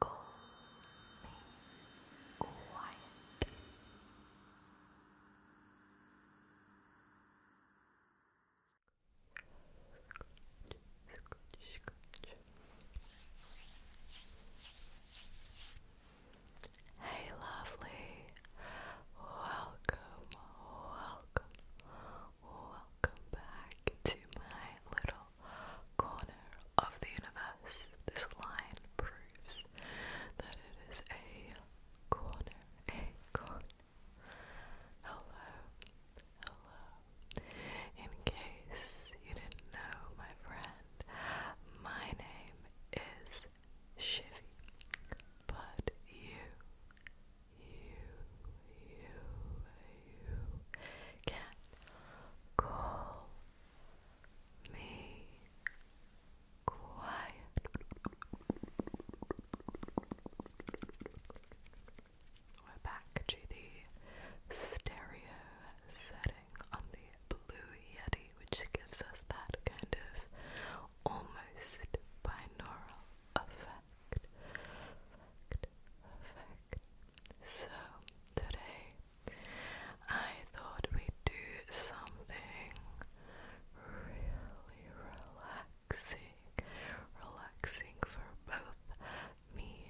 calmly, Hey, lovely. Welcome, welcome, welcome back to my little corner of the universe. This line proves that it is a corner, a corner. Hello, hello. In case you didn't know, my friend, my name is Shivy, but you, you, you, you can call me quiet. We're back to the stereo setting on the Blue Yeti, which gives us that kind of almost binaural effect. So, today I thought we'd do something really relaxing, relaxing for both me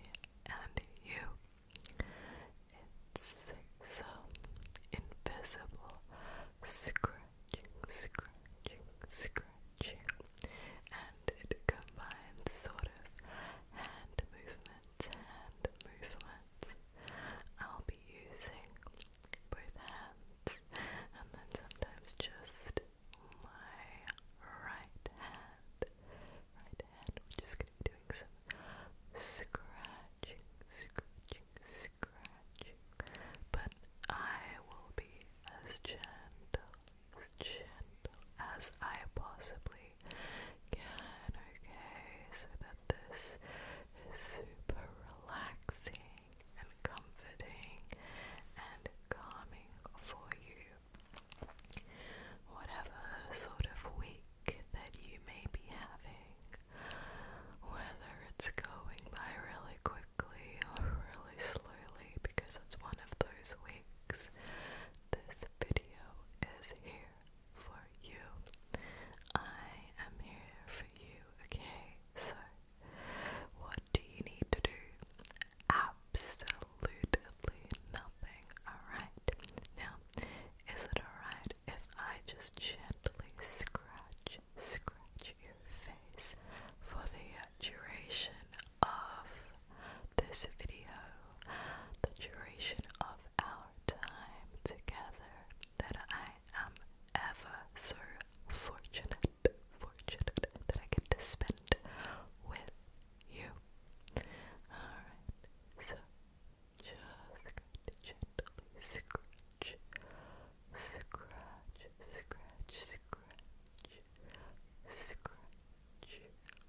and you. It's some invisible scratching, scratching, scratching and it combines sort of hand movements, hand movements. I'll be using both hands and then sometimes just my right hand. Right hand, we're just going to doing some scratching, scratching, scratching. But I will be as gentle gentle as I possibly can, okay? So that this is super relaxing and comforting and calming for you. Whatever sort of week that you may be having, whether it's going by really quickly or really slowly, because it's one of those weeks this video is here for you. I am here for you, okay? So, what do you need to do? Absolutely nothing, alright? Now, is it alright if I just gently scratch, scratch your face for the duration of this video, the duration of our time together, that I am ever so fortunate, fortunate that I get to spend with you. Alright, so just gently scratch, scratch, scratch, scratch, scratch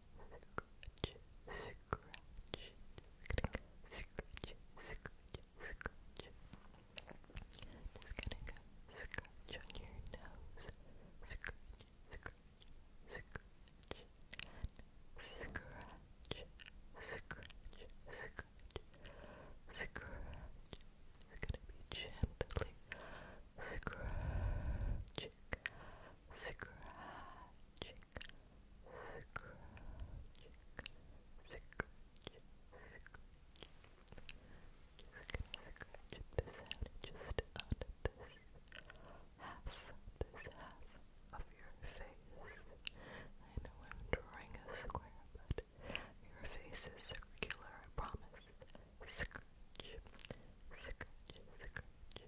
scratch, scratch, scratch, scratch, scratch. Just gonna go scratch on your nose, scratch, scratch, scratch, and scratch, scratch, scratch, scratch. It's gonna be gently scratching, scratching, scratching, scratching, scratching. Just gonna this just on this half, this half of your face. I know I'm drawing a square, but your face is circular, I promise. Scratch, scratch, scratch,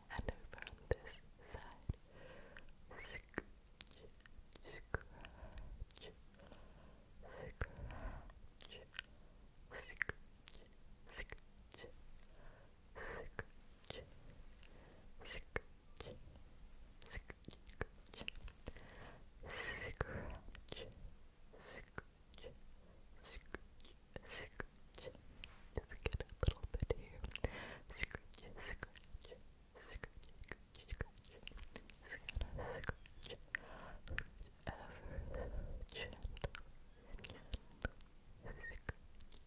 and over on this side. Scratch, scratch, scratch, scratch, scratch, scratch, scratch, scratch, scratch, scratch, scratch, scratch, scratch. Just get a little bit here. Scratch, scratch, scratch, scratch, scratch. Just gonna scratch, scratch ever so gently. Scratch, scratch,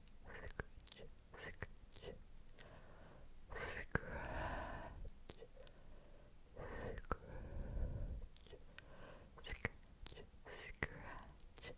scratch. Scratch, scratch, scratch, scratch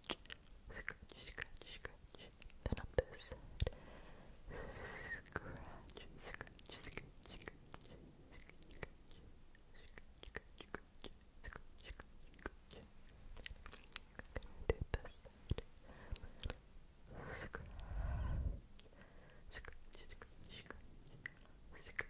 scratch, scratch, scratch. Then on this side, scratch, scratch, scratch, scratch, scratch, scratch, scratch. Scratch, scratch, scratch. Do this side. Scratch, scratch, scratch, scratch, scratch, scratch,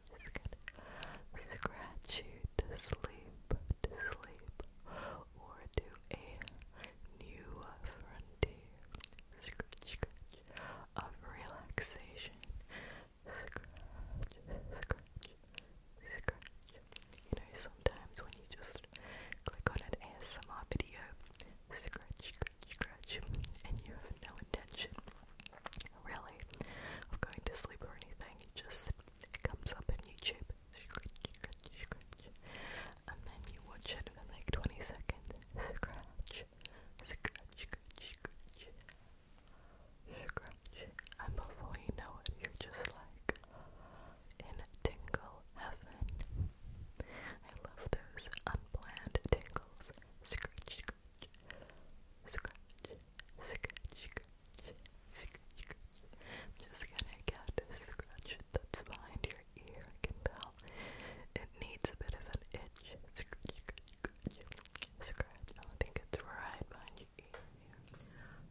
scratch you to sleep, to sleep, or to a new Scratch, scratch of relaxation. You know, sometimes when you just click on an ASMR video, scratch, scratch, scratch, and you have no intention really, of going to sleep or anything. just, it comes up in YouTube, and then you watch it for like 20 seconds, scratch, scratch, scratch, and before you know it, you're just like in tingle heaven. I love those unplanned tingles, scratch, scratch just gonna get a scratch that's behind your ear, I can tell. It needs a bit of an itch. Scratch, I think it's right behind your ear.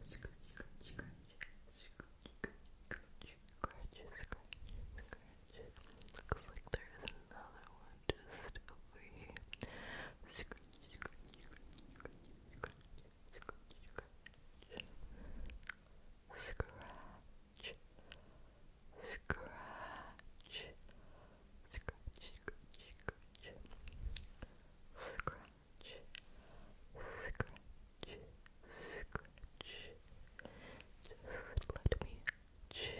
Scratch, like there's another one just over here. Scratch, scratch, scratch, scratch, scratch, scratch. Scratch, scratch, scratch. Just let me gently,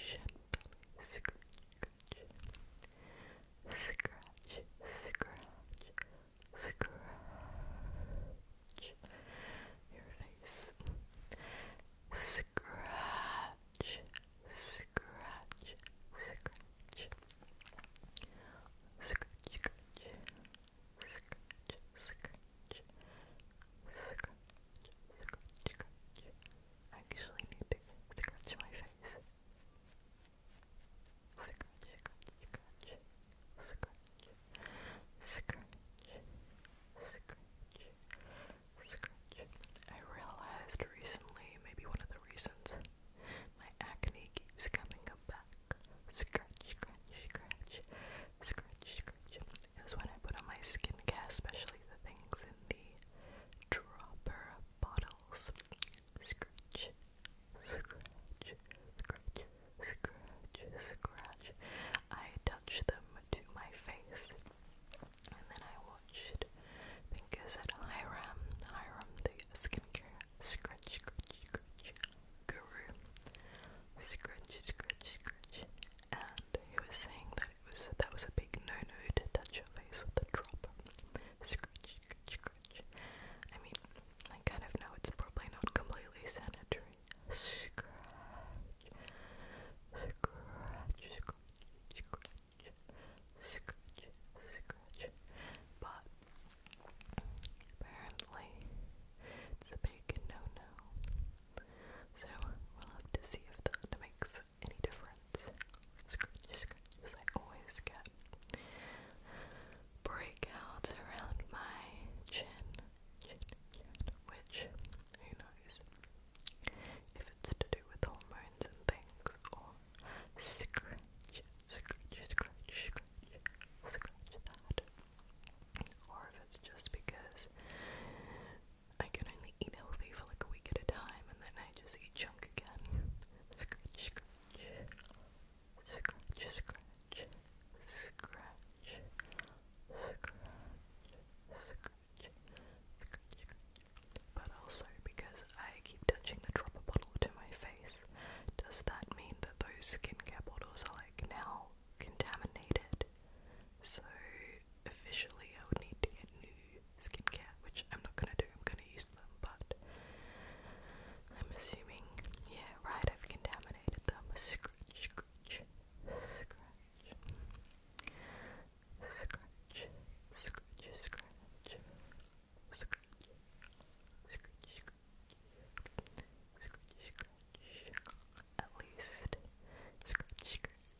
gently scratch, scratch, scratch, scratch your face, scratch, scratch, scratch. Scratch, scratch, scratch, scratch, scratch, scratch. I actually need to scratch my face. I realized recently, maybe one of the reasons my acne keeps coming back. scratch, package is when I put on my skin care, especially the things in the dropper bottles. Scratch, scratch, scratch, scratch, scratch. I touch them to my face, and then I watched. think is it Hiram, Hiram the skincare scratch, scratch, scratch guru. Scratch, scratch, scratch, and he was saying that it was that was a big no-no to touch your face with a drop. Scratch, scratch, scratch. I mean, I kind of know it's probably not completely sanitary. Scratch, scratch, scratch, scratch, scratch, scratch. But apparently, it's a big no-no. So we'll have to see if that makes any difference. Scratch, I always get breakouts around my chin, which who knows if it's to do with hormones and things or that, or if it's just because I can only eat healthy for like a week at a time and then I just eat junk again. But also because I keep touching the dropper bottle to my face, does that mean that those skincare bottles are like now contaminated? So officially I would need to get new skincare, which I'm not gonna do, I'm gonna use them, but I'm assuming, yeah, right, I've contaminated them. Scratch, scratch, scratch. Scratch, scratch, scratch. Scratch, scratch, scratch. Scratch, scratch. At least, scratch, scratch.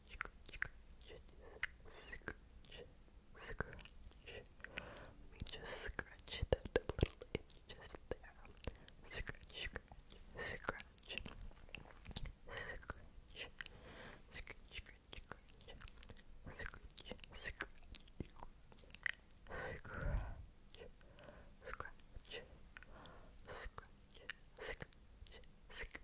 Let me just scratch that little itch just there. Scratch, scratch, scratch. Scratch, scratch, scratch, scratch. Scratch, scratch, scratch. Scratch, scratch, scratch, scratch.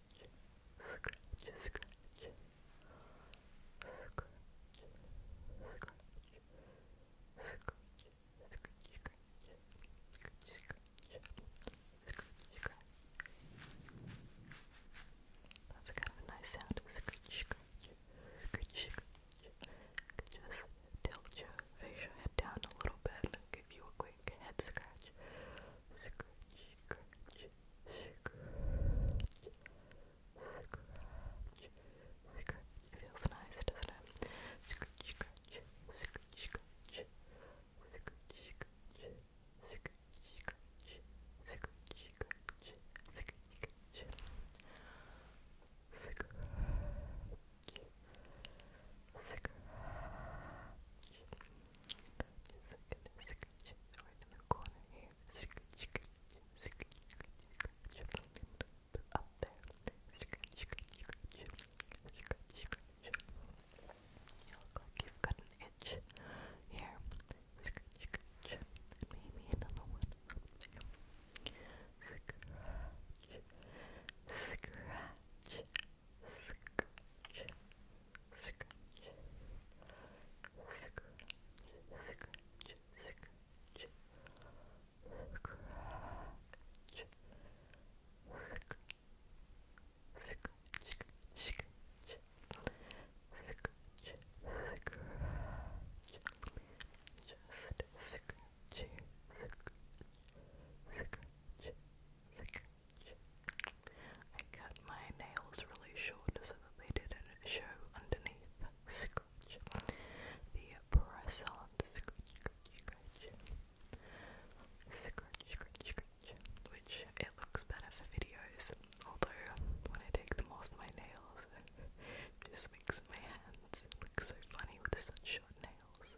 scratch, scratch, scratch, scratch, scratch. That's kind of a nice sound. Scratch, scratch, scratch, scratch. Just tilt your facial head down a little bit. Give you a quick head Scratch, it feels nice, doesn't it? the Scratch, scratch, scratch, scratch, scratch. Up there. Scratch, scratch, scratch. Scratch, scratch. You look like you an itch here. Scratch, scratch. And maybe another one Scratch, scratch, scratch, scratch, scratch, scratch, scratch. Just scratch, scratch, scratch, I cut my nails really short so that they didn't show underneath. The press on. Which it looks better for videos, although when I take them off my nails, it just makes my hands look so funny with the sun-shot nails.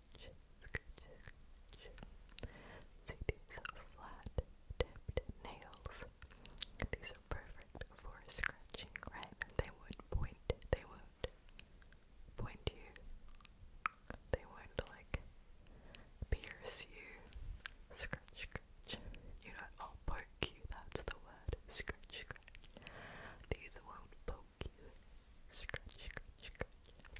See these flat tipped nails? These are perfect for scratching, right? They would point, they would point you, they would like pierce you. Scratch, scratch. You know, I'll poke you, that's the word. Scratch, scratch. These won't poke you. Scratch, scratch, scratch.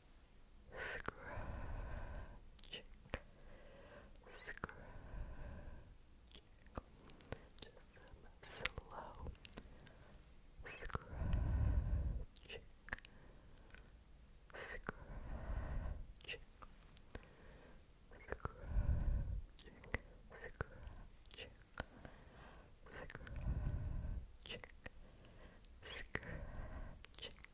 Scratch, scratching, just some slow scratching, scratching, scratching, scratching. Scratching, scratching,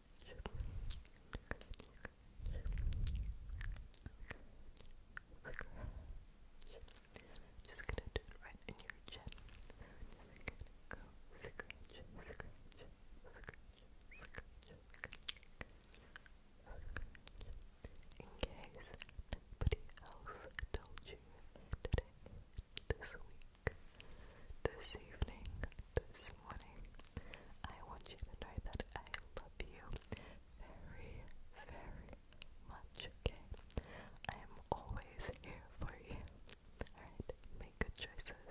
Just gonna do it right in your chin. In case nobody else told you today, this week, this evening, this morning, I want you to know that I love you very, very much, okay? I am always here for you. Alright, make good choices.